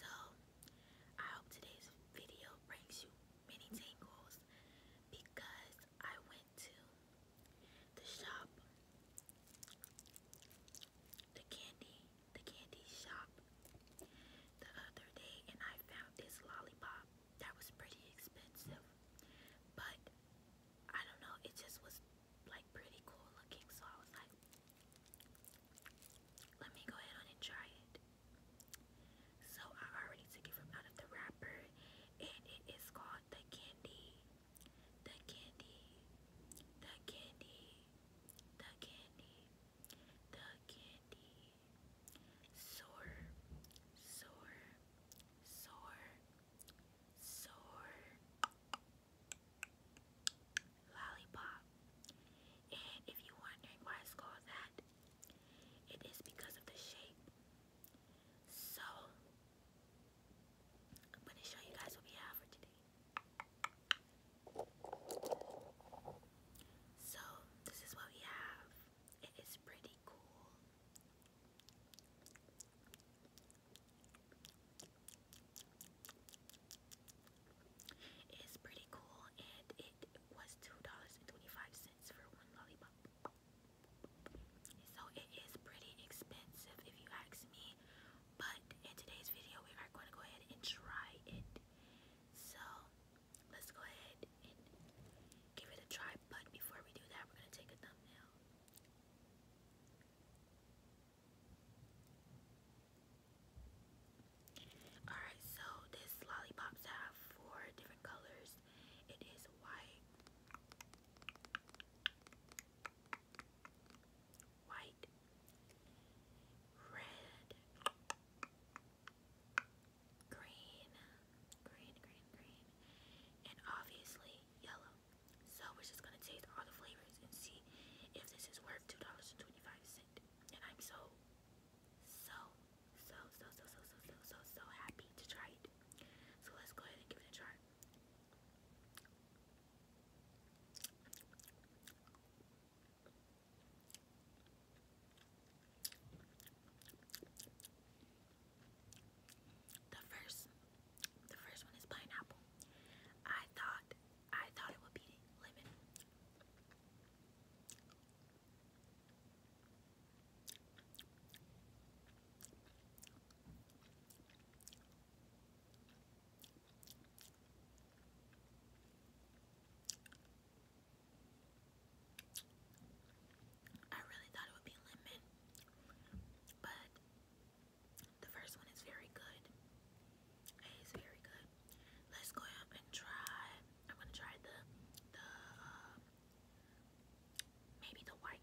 So, I hope today's video brings you many tingles because I went to the shop, the candy, the candy shop the other day and I found this lollipop that was pretty expensive, but I don't know, it just was like pretty cool looking, so I was like, let me go ahead and try it. So I already took it from out of the wrapper and it is called the candy. The candy. The candy. The candy. The candy. Sore. Sore. Sore. Sore lollipop. And if you're why it's called that, it is because of the shape. So, I'm going to show you guys what we have for today. So, this is what we have. It is pretty cool. It's pretty cool and it was $2.25 for one lollipop. So it is pretty expensive if you ask me. But in today's video we are going to go ahead and try it. So let's go ahead and give it a try. But before we do that we're going to take a thumbnail. Alright, so this lollipops have four different colors. It is white, white, red, green, green, green, green, and obviously yellow. So we're just gonna taste all the flavors and see if this is worth two dollars and twenty-five cent. And I'm so, so, so, so, so, so, so, so, so, happy to try it. So let's go ahead and give it a try. The first the first one is pineapple. I thought I thought it would be lemon. I really thought it would be lemon, but the first one is very good. It is very good. Let's go up and try. I'm gonna try the the um, maybe the white.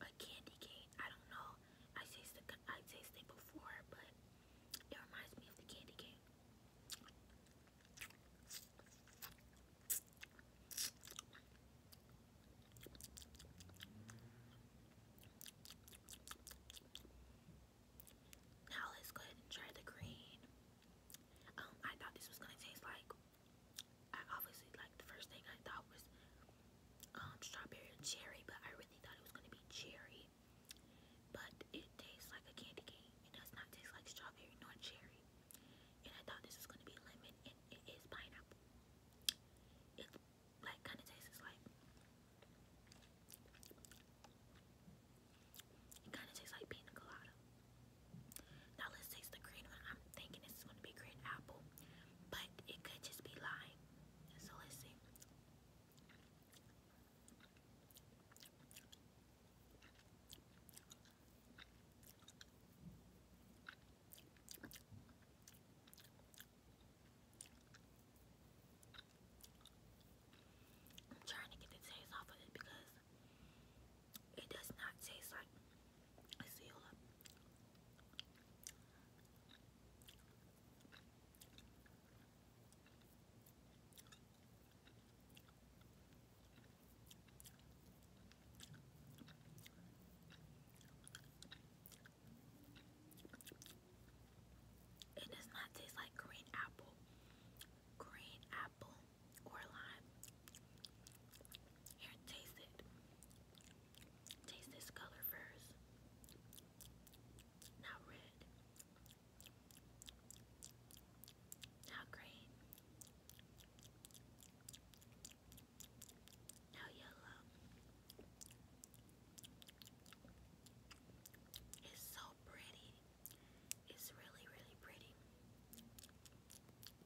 a candy cane. I don't know. I tasted I tasted before, but it reminds me of the candy cane. Now let's go ahead and try the green. Um, I thought this was gonna taste like I obviously like the first thing I thought was um strawberry and cherry, but I really thought it was gonna be cherry. But it tastes like a candy cane. It does not taste like strawberry nor cherry. And I thought this was gonna be lemon and it is pineapple. It like kinda tastes like it kinda tastes like pina colada. Now let's taste the green one. I'm thinking this is gonna be green apple, but it could just be lime. So let's see. I'm trying to get the taste off of it because it does not taste like It does not taste like green apple. Green apple or lime. Here, taste it. Taste this color first. Now red. Now green. Now yellow. It's so pretty. It's really, really pretty.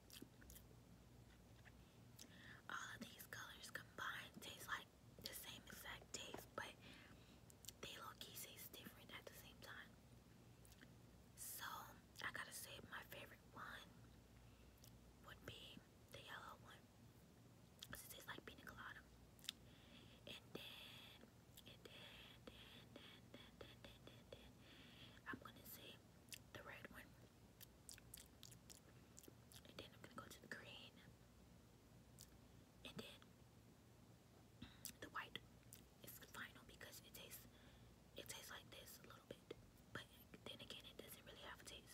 All of these colors combined taste like the same exact taste, but they low-key different at the same time. So I gotta say my favorite one would be the yellow one. it tastes like pina colada. And then, and then, then, then, then, then, then, then, then I'm gonna say the red one and then I'm going to go to the green. And then mm, the white is final because it tastes it tastes like this a little bit. But then again it doesn't really have a taste.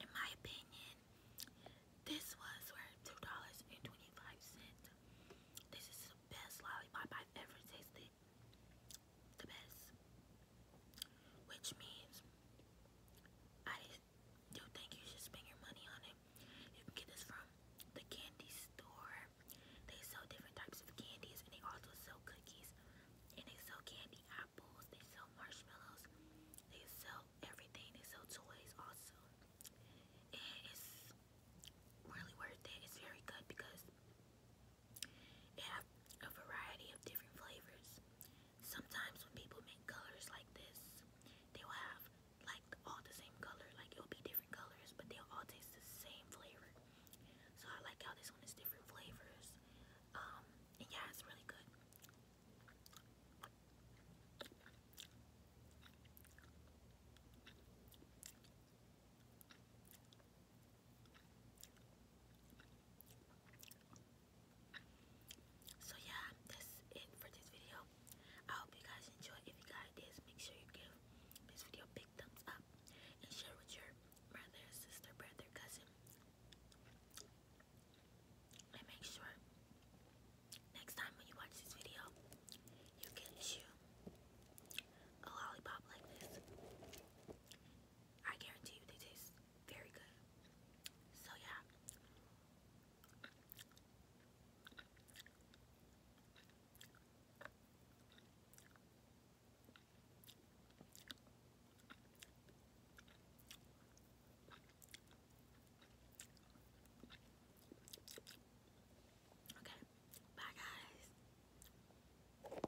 In my opinion, this was worth two dollars and twenty-five cents. This is the best lollipop I've ever tasted. The best. Which means I you think you should spend your money on it. You can get this from the candy store. They sell different types of candies and they also sell cookies. And they sell candy apples, they sell marshmallows, they sell everything, they sell toys also. And it's really worth it. It's very good because they have a variety of different flavors sometimes when people make colors like this, they will have like all the same color. Like it'll be different colors, but they'll all taste the same flavor. So I like how this one is different flavors. Um, and yeah, it's really good. So yeah, that's it for this video. I hope you guys enjoyed. If you guys did, make sure you give this video a big thumbs up and share with your brother, sister, brother, cousin. And make sure next time when you watch this video, you can chew a lollipop like this. I guarantee you they taste very good. So yeah. Okay, bye guys.